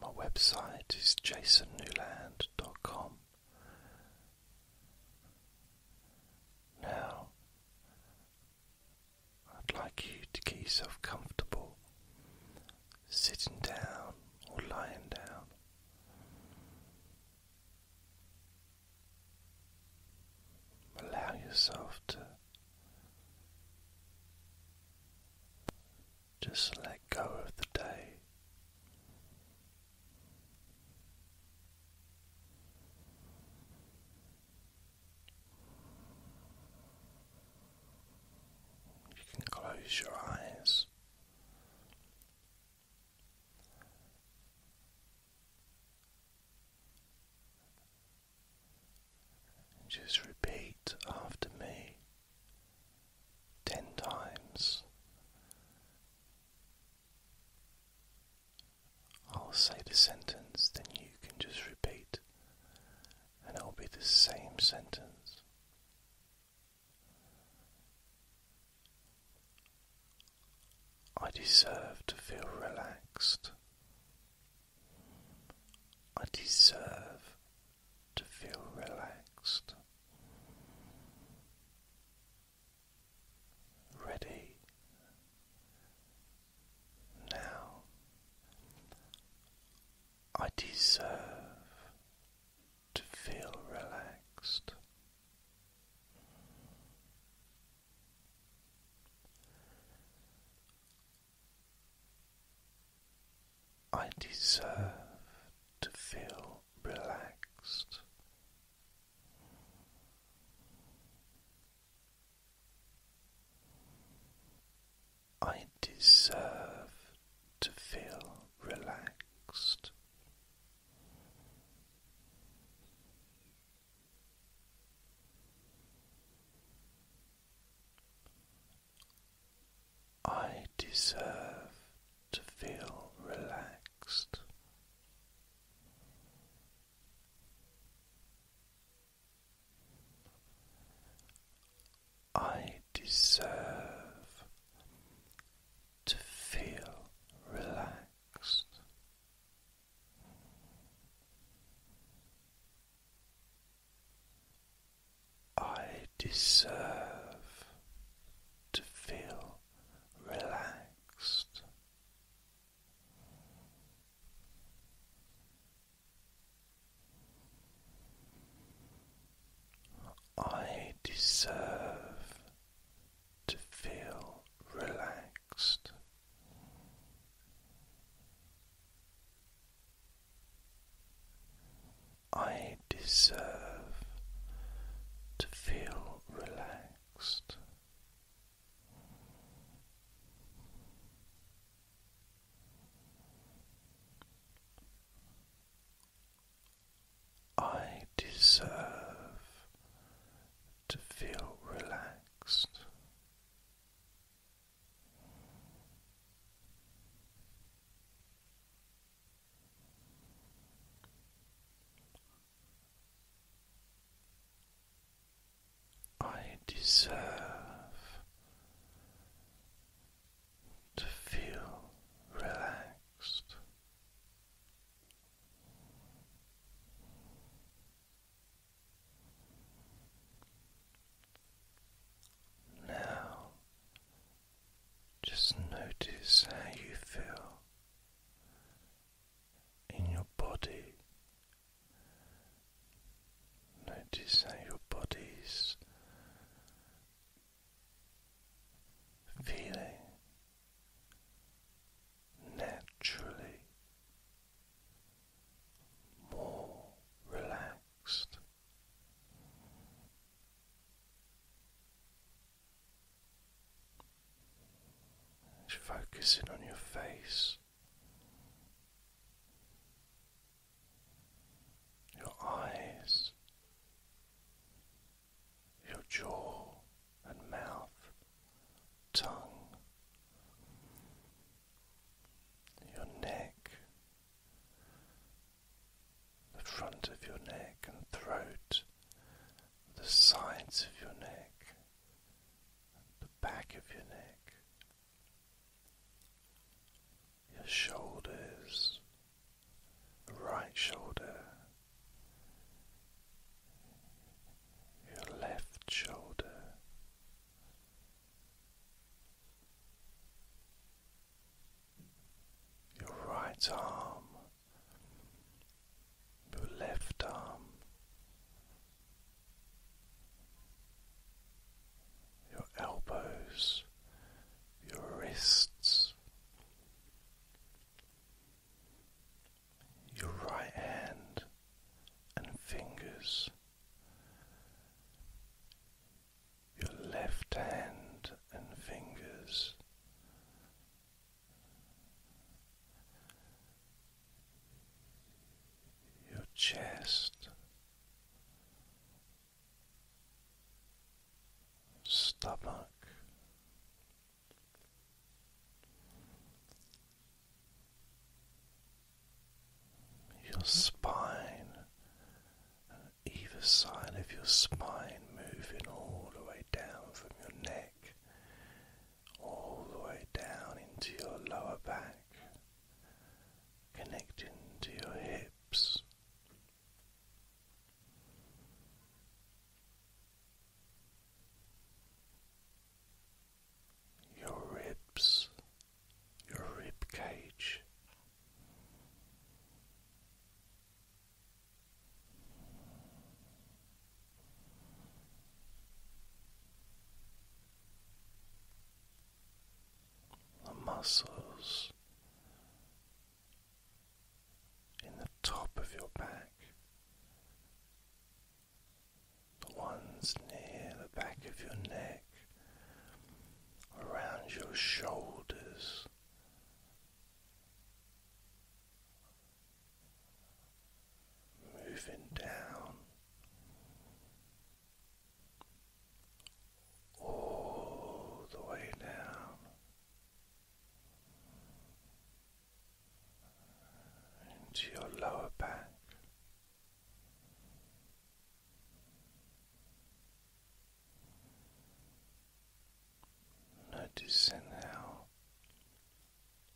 My website is jasonnewland.com. Now, I'd like you to get yourself comfortable sitting down or lying down. Allow yourself to just let go of the day. You can close your eyes just repeat after me ten times. I'll say the sentence, then you can just repeat, and it'll be the same sentence. I deserve to feel relaxed. I deserve to feel relaxed, ready now. I deserve to feel relaxed. I deserve to feel relaxed. I deserve to feel relaxed. I deserve to feel relaxed. I deserve to feel relaxed. I deserve to feel relaxed. I deserve to feel relaxed. I deserve to feel relaxed. I deserve to feel relaxed. I deserve to feel relaxed. Now, just notice how you feel in your body. Notice how your body's feeling naturally more relaxed. Just focusing on your face, your eyes, your jaw and mouth, tongue, your neck, the front of your neck and throat, the sides of your neck, the back of your neck, your shoulders, right shoulder, your left shoulder your right arm, your left arm, your elbows, your wrists, your right hand and fingers, your left hand and fingers. Your chest, stomach, your spine, either side of your spine moving all the way down from your neck, all the way down into your lower back, connecting to your hips your ribs, your rib cage. The muscles in the top of your back, the ones near the back of your neck, around your shoulders. Moving down all the way down into your lower back. Noticing how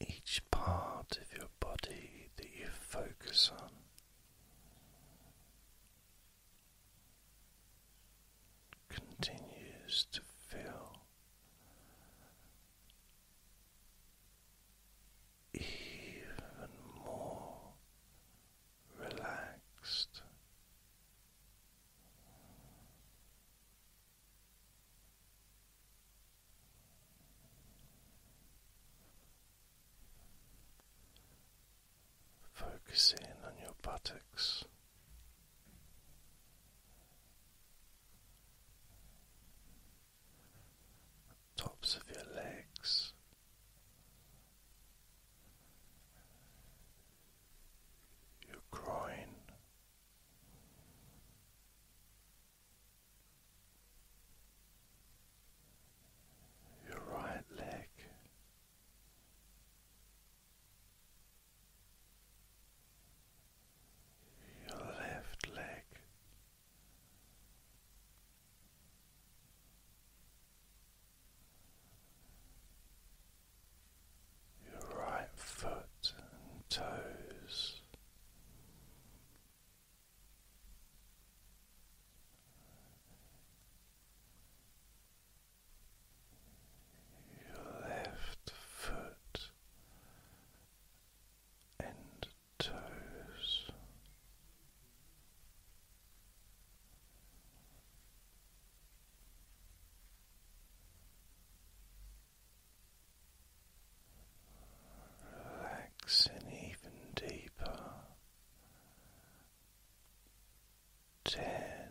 each part of your body that you focus on continues to feel even more relaxed. Focus in on your buttocks tops of your legs. Your groin, your right leg, your left leg. Your right foot and toes, your left foot and toes. and even deeper. Ten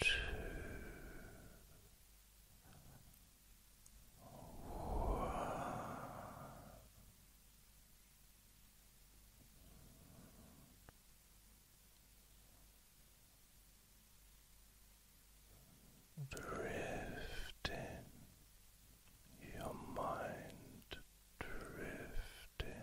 Two. One. Drifting, your mind drifting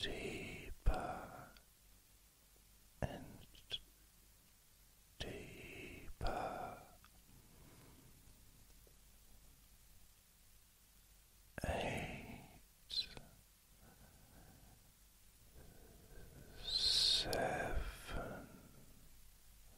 deeper and deeper eight seven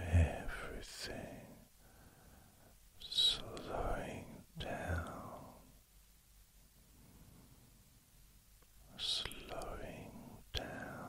Everything slowing down, slowing down,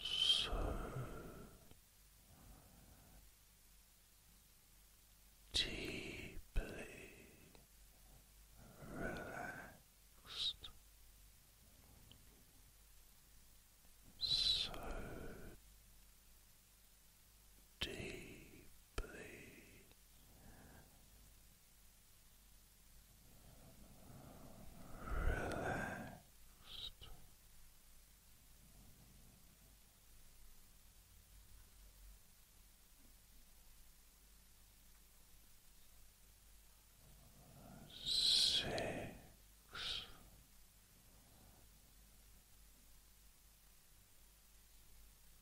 so deeply relaxed, so deeply relaxed. Six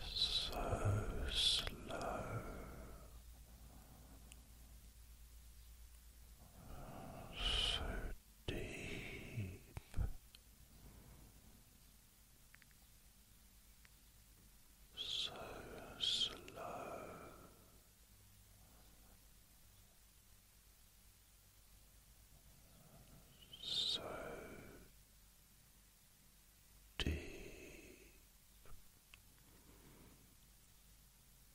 So slow. So deep, so slow. So deep,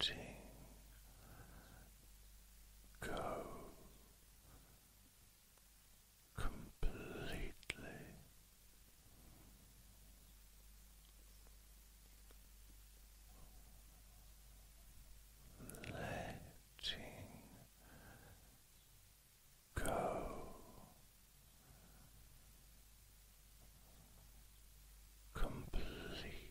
Letting go completely. Letting go completely